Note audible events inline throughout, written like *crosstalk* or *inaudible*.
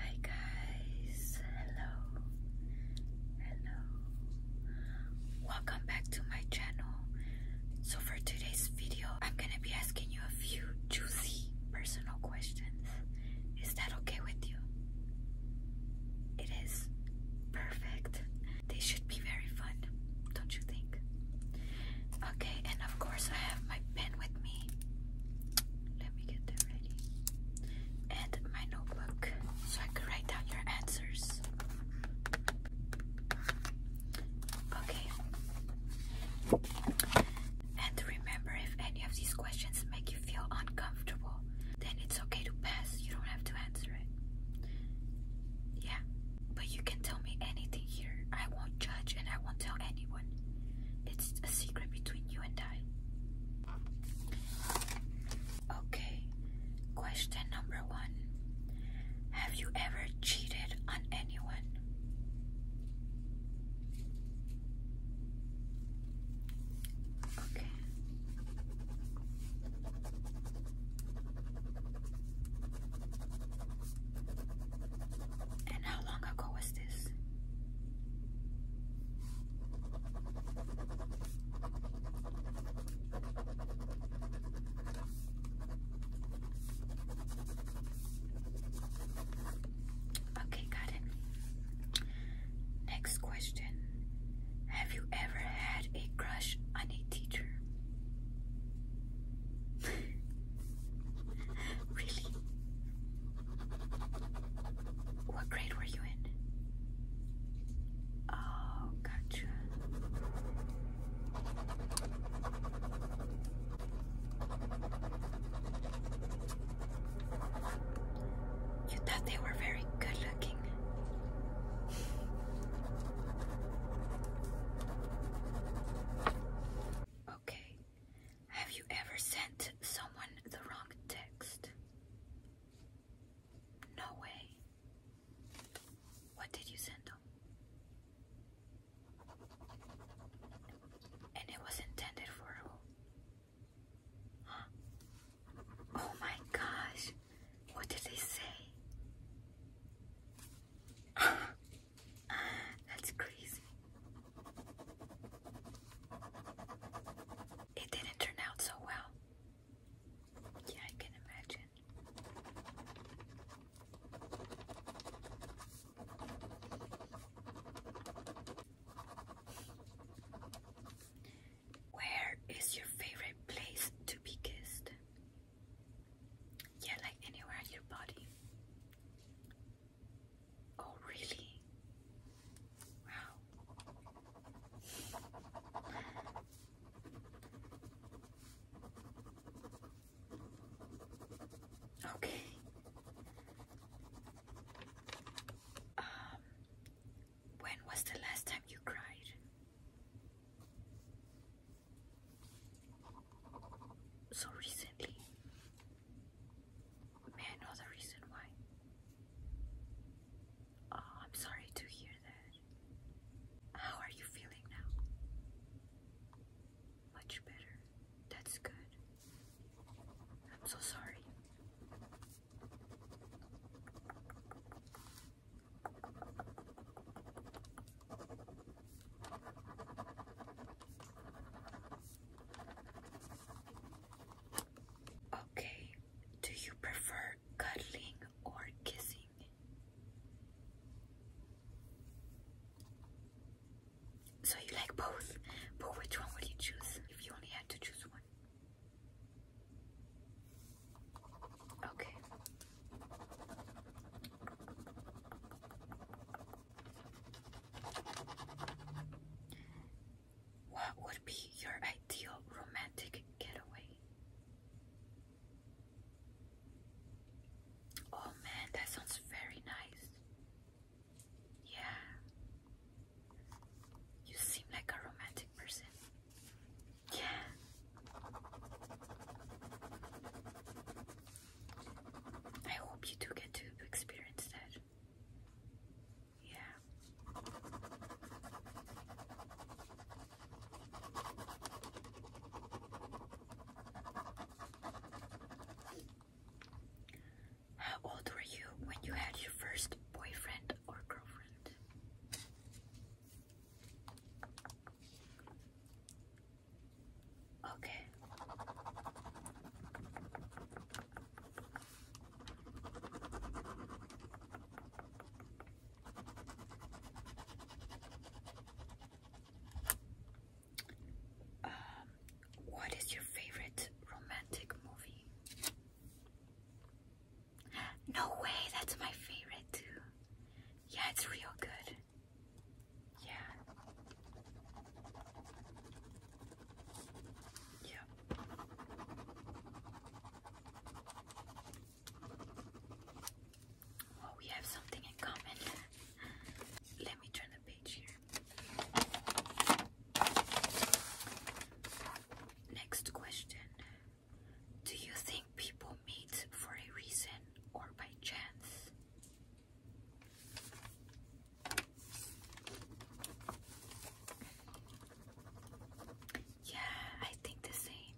Hi guys, hello, hello, welcome back to my channel. So for today's video, I'm gonna be asking you a few juicy personal questions. Is that okay with you? It is perfect. They should be very fun, don't you think? Okay, and of course I have my pen with me. Let me get them ready. And my notebook so I can write down your answers. Okay. And remember, if any of these questions make you feel uncomfortable, then it's okay to pass. You don't have to answer it. Yeah. But you can tell me anything here. I won't judge and I won't tell anyone. It's a secret between you and I. Okay, question number one Have you ever cheated on anyone? Okay. And how long ago was this? Okay, got it. Next question. Have you ever had a crush on a teacher? *laughs* really? What grade were you in? Oh, gotcha. You thought they were very good looking. Okay, have you ever sent someone the wrong text? No way. What did you send them? And it was intended for Oh my gosh. What did they say? *laughs* That's crazy. It didn't turn out so well. Yeah, I can imagine. Where is your favorite place to be kissed? Yeah, like anywhere on your body. Oh, really? Wow. Okay. Um, when was the last time you cried? So recently. May I know the reason why? Oh, I'm sorry to hear that. How are you feeling now? Much better. That's good. I'm so sorry. Okay, do you prefer cuddling or kissing? So you like both, but which one would you choose if you only had to choose one? Okay. What would be your ideal romantic getaway? Oh man, that sounds very nice. Yeah. You seem like a romantic person. Yeah. I hope you do get to experience that. Yeah. How old were you when you had your first boyfriend or girlfriend? Okay. Um, what is your favorite romantic movie? No way, that's my favorite too. Yeah, it's real good. Yeah. Yeah. Well, oh, we have something in common. Let me turn the page here. Next question. Do you think people meet for a reason or by chance? Yeah, I think the same.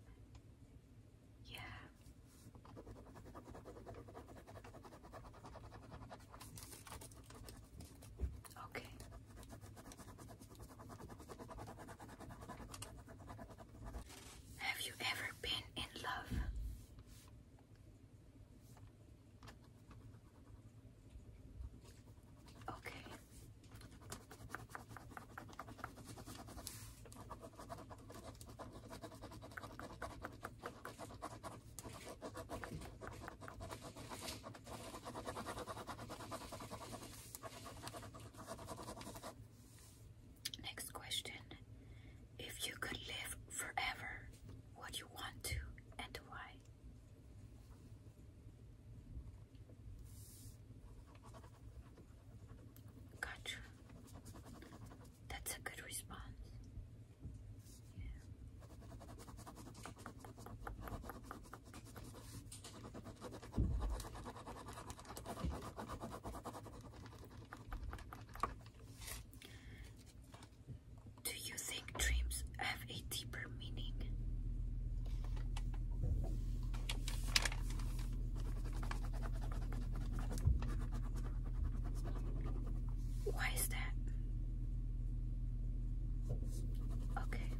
Yeah. Okay. Have you ever been in love? Okay. Next question. If you could live forever, would you want to and why? Gotcha. That's a good response. Yeah. Do you think dreams have a deeper meaning? Why is that? Okay.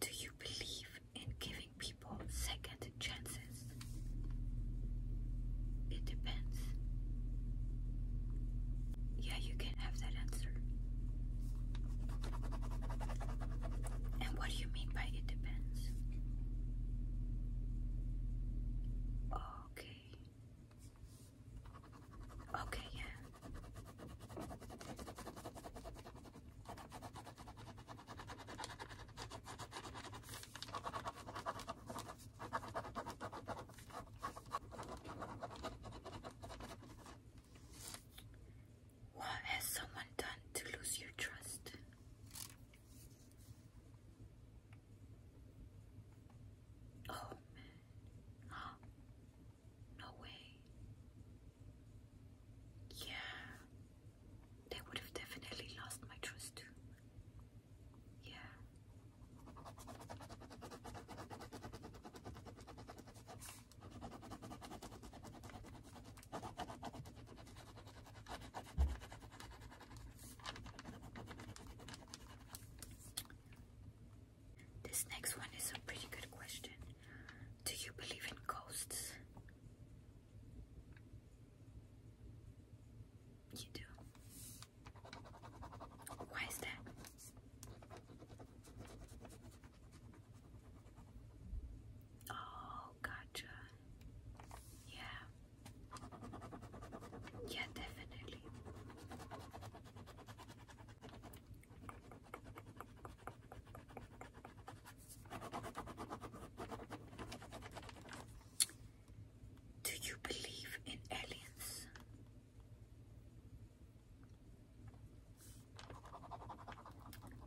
Do you believe in giving people second chances. It depends. Yeah, you can have that answer. And what do you mean by it depends? Okay. Okay, yeah. What has someone done to lose your trust? Oh man. *gasps* No way. Yeah, they would have definitely lost my trust too. Yeah. This next one is a pretty good question. Do you believe in ghosts? You do. Why is that? Oh, gotcha. Yeah. Yeah, definitely. Do you believe in aliens?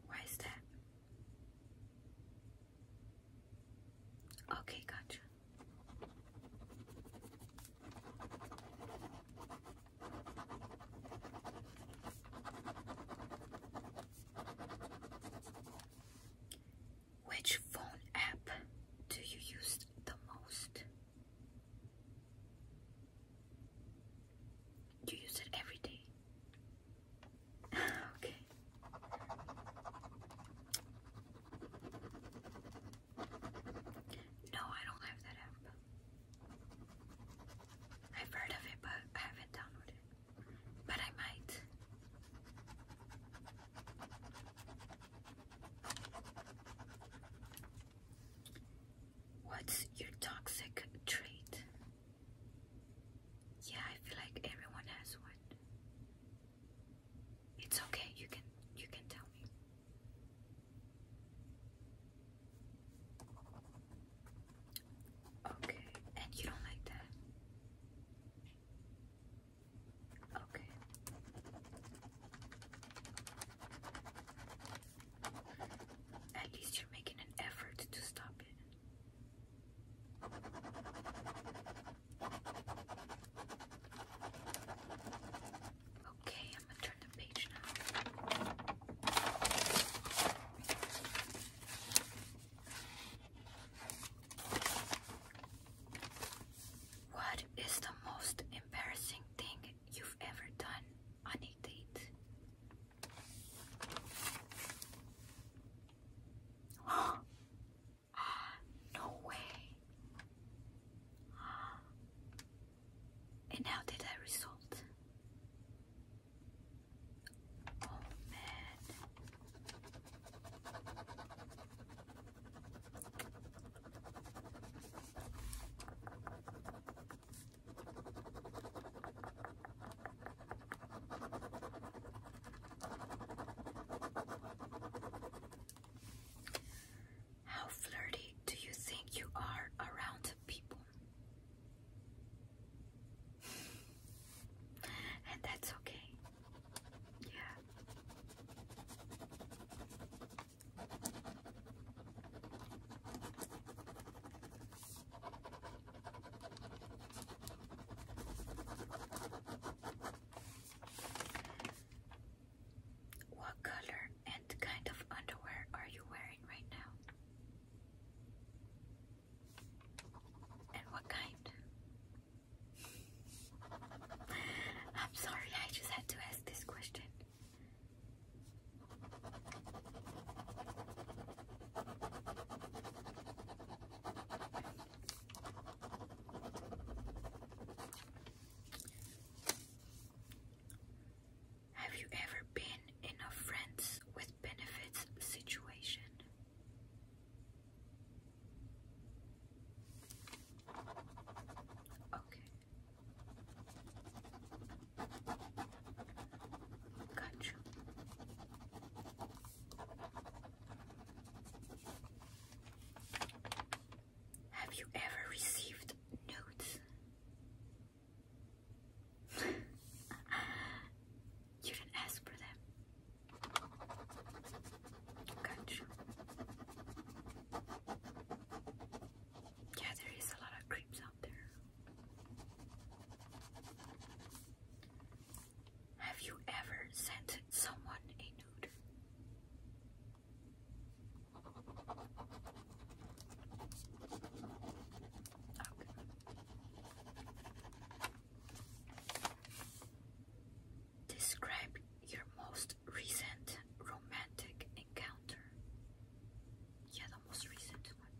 Why is that? Okay, gotcha. Which phone app do you use the most? You use it every day. *laughs* okay. No, I don't have that app. I've heard of it, but I haven't downloaded But I might. What's your toxic trait? Yeah, I feel like everyone has one. It's okay, you can you can tell me. Okay, and you don't like that? Okay. At least you're making an effort to stop it. Okay, I'm gonna turn the page now. What is the most embarrassing thing you've ever done on a date? no way. *gasps* And how did that result? Oh man. How flirty do you think you are around people? and that's okay. Yeah. What color and kind of underwear are you wearing right now? And what kind? I'm sorry, I just had to ask this question. Have you ever been in a friends with benefits situation? Okay. Got Have you ever received notes? you didn't ask for them. Yeah, there is a lot of creeps out there. Have you ever sent someone a nude? Describe your most recent romantic encounter. Yeah, the most recent one.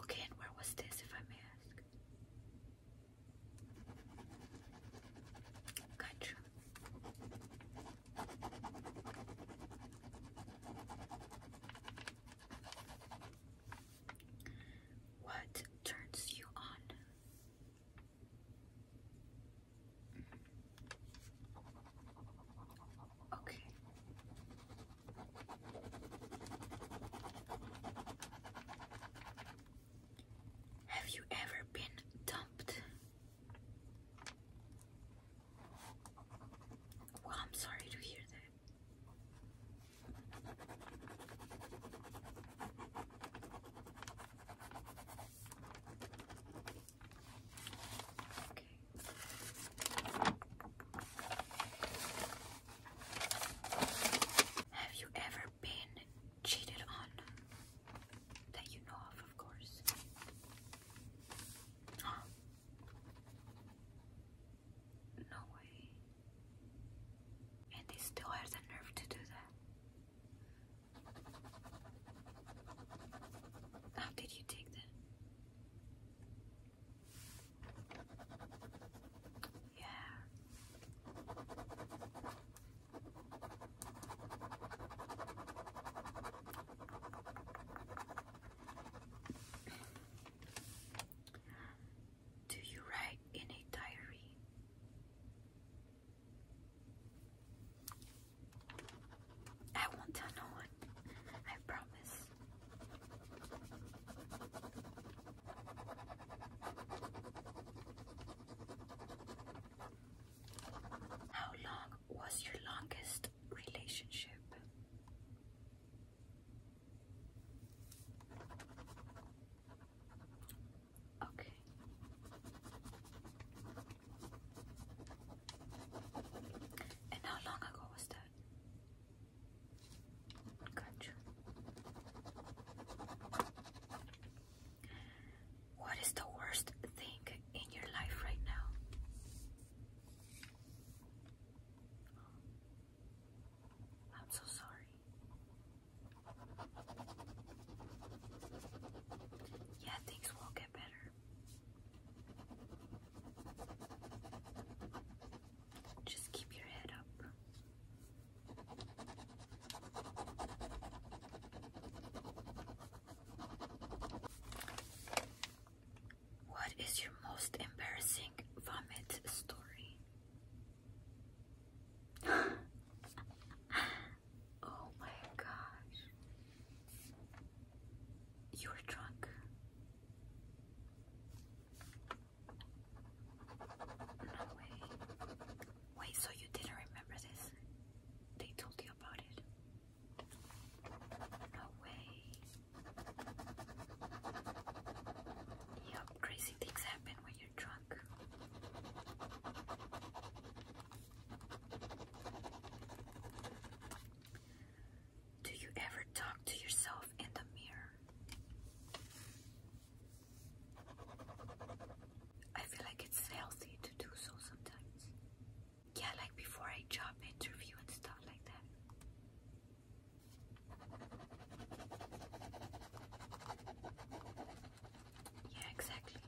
Okay, and where was this, if I may ask? Gotcha. What turns you on? Okay. Have you ever been dumped? Well, I'm sorry to hear that. Okay. Have you ever been cheated on that you know of, of course. Um, no way. And he still has the nerve to do that. How did you take that? Yeah. Do you write in a diary? I won't tell no one. I promise. How long was your longest relationship? Okay. And how long ago was that? What is the worst thing in your life right now? I'm so sorry. Yeah, things will get better. Just keep your head up. What is your most embarrassing vomit story? *gasps* oh my gosh. You're drunk. No way. Wait, so you didn't remember this? They told you about it. No way. Yup, crazy things happen when you're drunk. Do you ever talk to yourself in the mirror? I feel like it's healthy to do so sometimes. Yeah, like before a job interview and stuff like that. Yeah, exactly.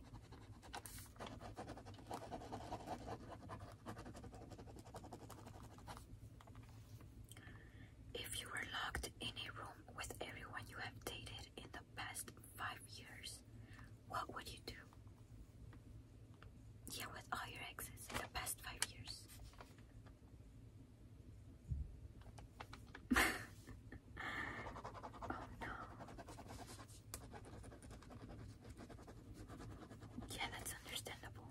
If you were locked in a room with everyone you have dated in the past five years, what would you do? Yeah, with all your exes in the past five years. *laughs* oh no. Yeah, that's understandable.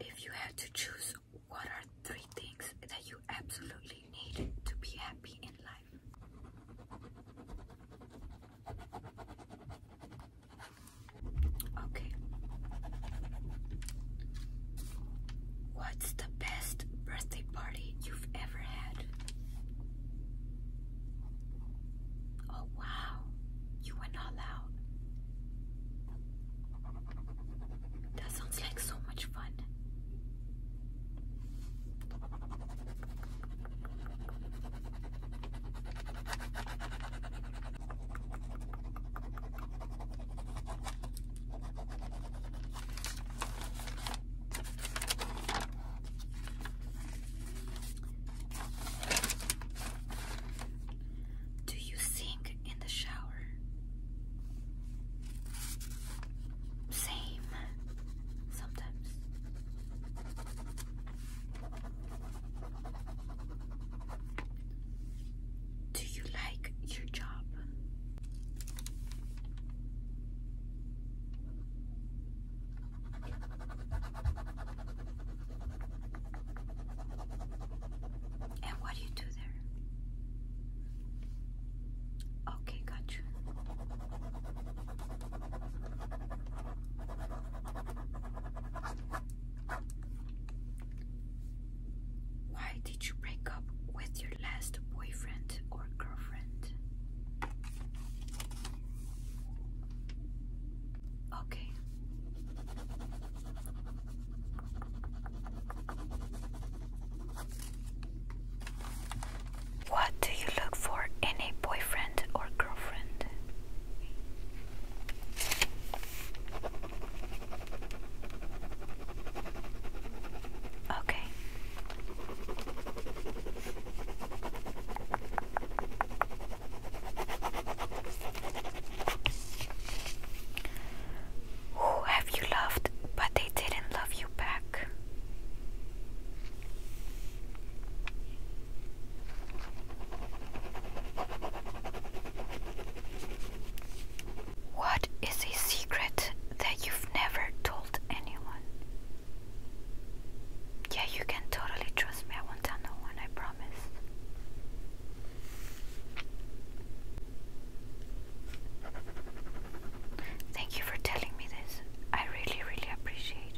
If you had to choose, what are three things that you absolutely need to be happy in life? Okay. What's the best birthday party you've ever had? Oh, wow, you were not loud. That sounds like so much fun. Do you sink in the shower? Same, sometimes. Do you like your job? And what do you do there? Okay, got you. Why did you break up with your last boyfriend or girlfriend? Okay. What do you look for in a boyfriend or girlfriend? Okay. Who have you loved but they didn't love you back? What is a secret that you've never told anyone? Yeah, you can totally trust me. I won't tell no one, I promise. Thank you for telling me this. I really, really appreciate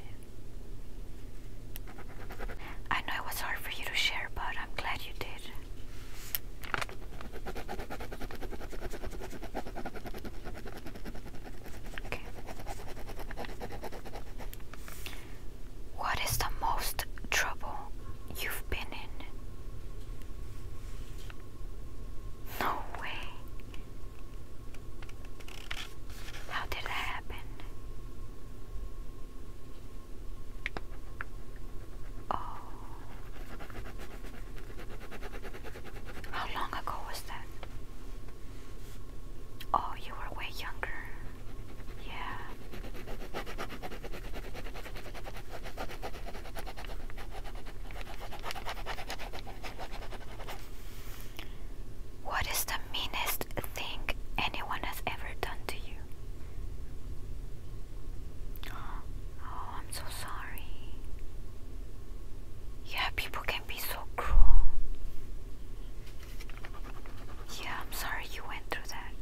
it. I know it was hard for you to share, but I'm glad you did. What is the most trouble you've been in? No way. How did that happen? Oh. How long ago was that? Oh, you were way younger. Yeah. What is the meanest thing anyone has ever done to you? *gasps* Oh, I'm so sorry. Yeah, people can be so cruel. Yeah, I'm sorry you went through that.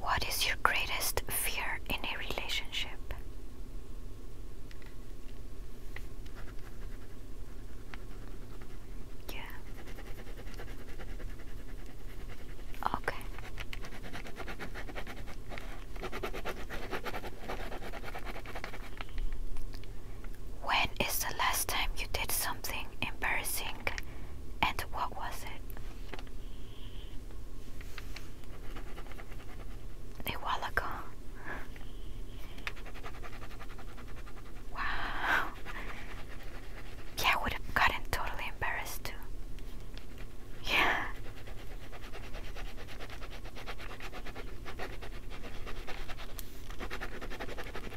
What is your greatest fear in a relationship? Yeah. Okay. When is the last time you did something embarrassing and what was it? A while ago. Wow. Yeah, I would have gotten totally embarrassed too. Yeah.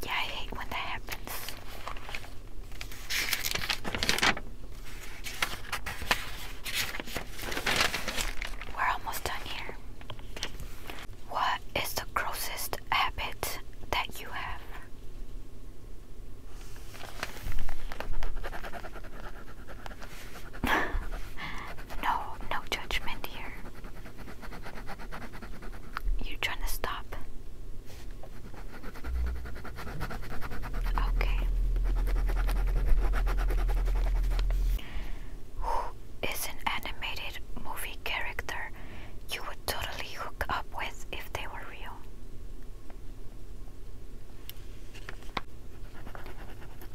Yeah, I hate when that happens. We're almost done here. What is the grossest habit that you have? *laughs* no, no judgment here. You're trying to stop. Okay is an animated movie character you would totally hook up with if they were real.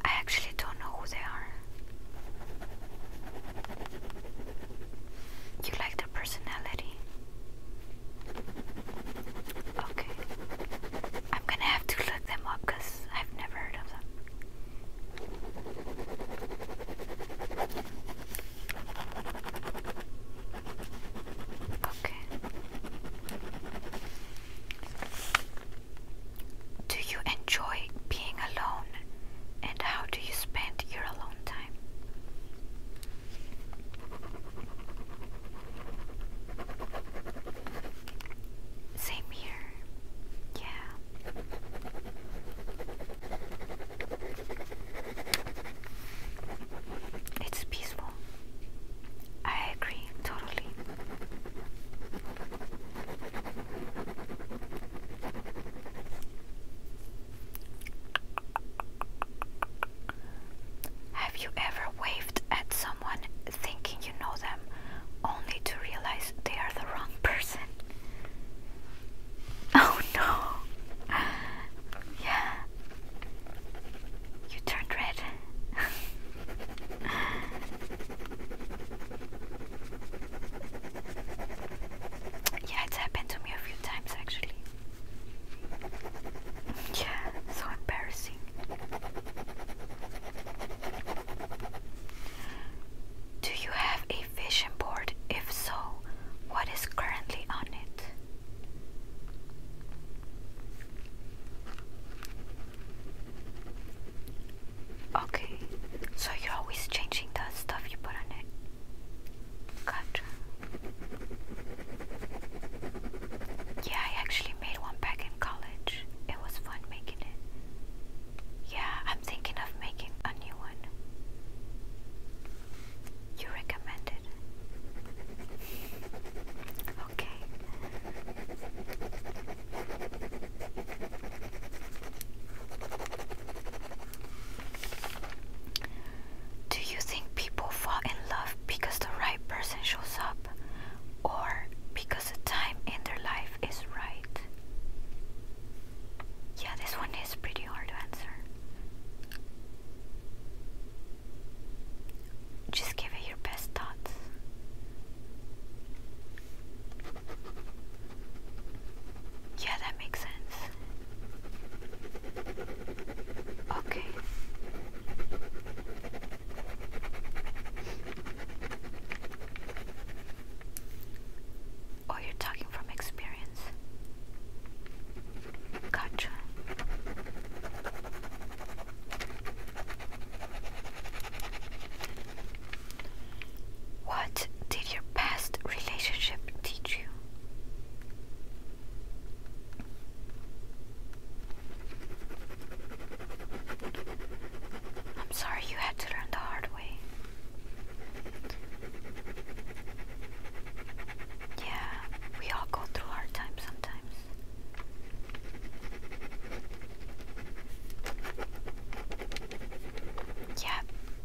I actually don't know who they are. You like their personality? Okay. I'm gonna have to look them up I've never heard of them. Okay. Do you enjoy being alone and how do you spend your alone time? Same here. Yeah. It's peaceful. I agree totally. Have you ever waved at someone thinking you know them, only to realize they are the wrong person. Oh no. Yeah. You turned red. yeah, it's happened to me a few times actually. Yeah, so embarrassing. Do you have a vision board? If so, what is currently on it? Okay, so you're always changing the stuff you put on it. Gotcha. Yeah, I actually made one back in college it was fun making it. Yeah, I'm thinking of making a new one. You recommend Okay. Do you think people fall in love because the right person shows up or because the time in their life is right? Yeah, this one is pretty hard to answer. Just give it your best thoughts. Yeah, that makes sense. Okay. Or oh, you're talking from experience? Gotcha. What did your past relationship teach you? I'm sorry you had to learn the hard way. Yeah, we all go through hard times sometimes. Yeah,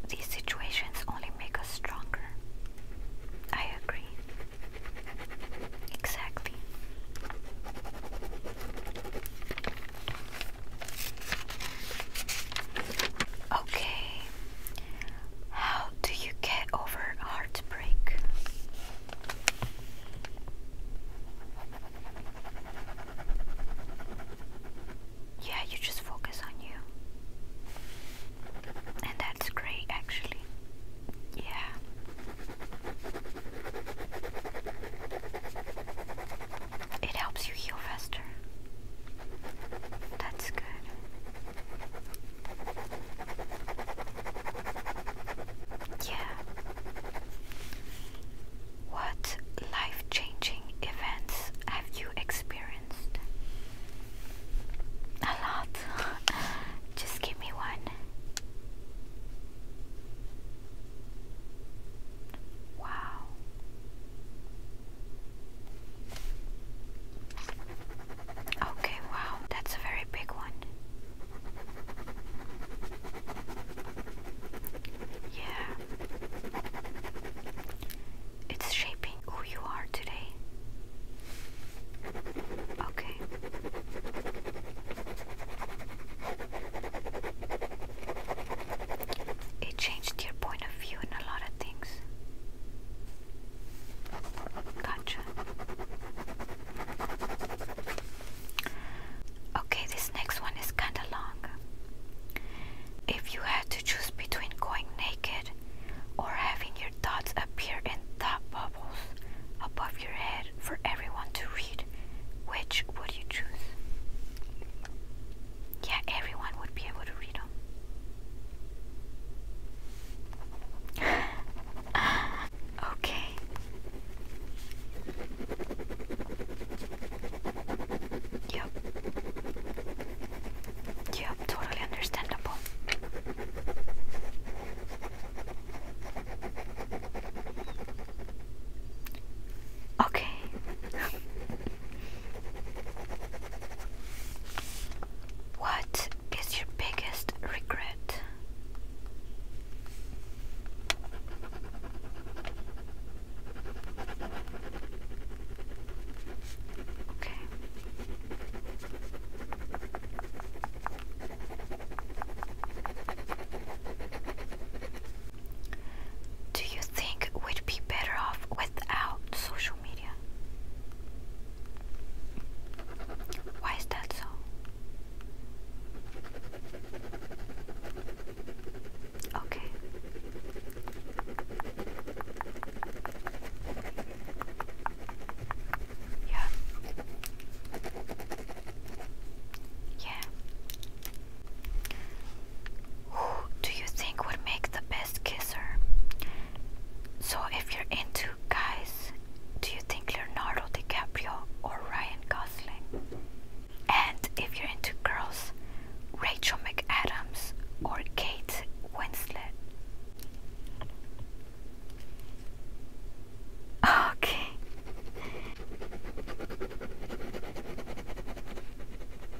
these situations only make us stronger. I agree. Exactly. Okay, how do you get over heartbreak? Yeah, you just focus on you. And that's great, actually. Yeah. It helps you heal faster. That's good. Yeah. What life changing events have you experienced? A lot. *laughs* Just give me one. Wow. Okay, wow, that's a very big one. Yeah. It's shaping who you are today. Okay. It changed your point of view in a lot of things. Gotcha. Okay, this next one is kinda long. If you had to choose between going naked or having your thoughts appear in thought bubbles above your head for everyone to read, which would you choose? Yeah, everyone would be able to read them. *laughs* okay. Yep. Yep, totally understandable. Okay. what is your biggest regret? Okay. Do you think we'd be better off without social media? Why is that so? Okay. Yeah. Yeah. Who do you think would make the best kisser? So, if you're into guys, do you think Leonardo DiCaprio or Ryan Gosling? And if you're into girls, Rachel McAdams or Kate Winslet? Okay.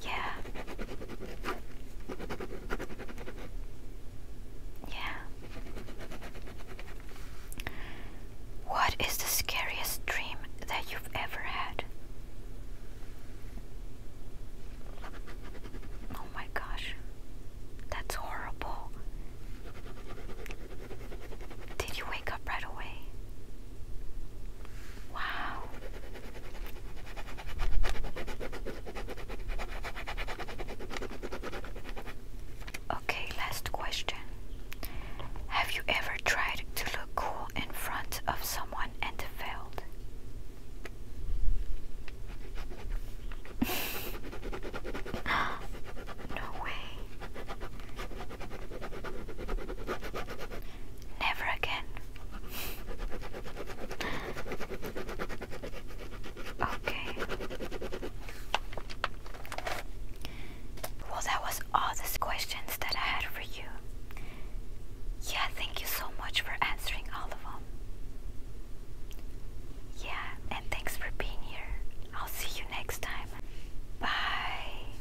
Yeah. Yeah. What is the scariest dream that you've ever had? Oh my gosh. That's horrible. Did you wake up right away? Wow. Okay, last question. Have you ever tried to look cool in front of someone and failed? *laughs* no way. Never again. okay. Well, that was all the questions that I had for you. Yeah, thank you so much for answering all of them. Yeah, and thanks for being here. I'll see you next time. Bye.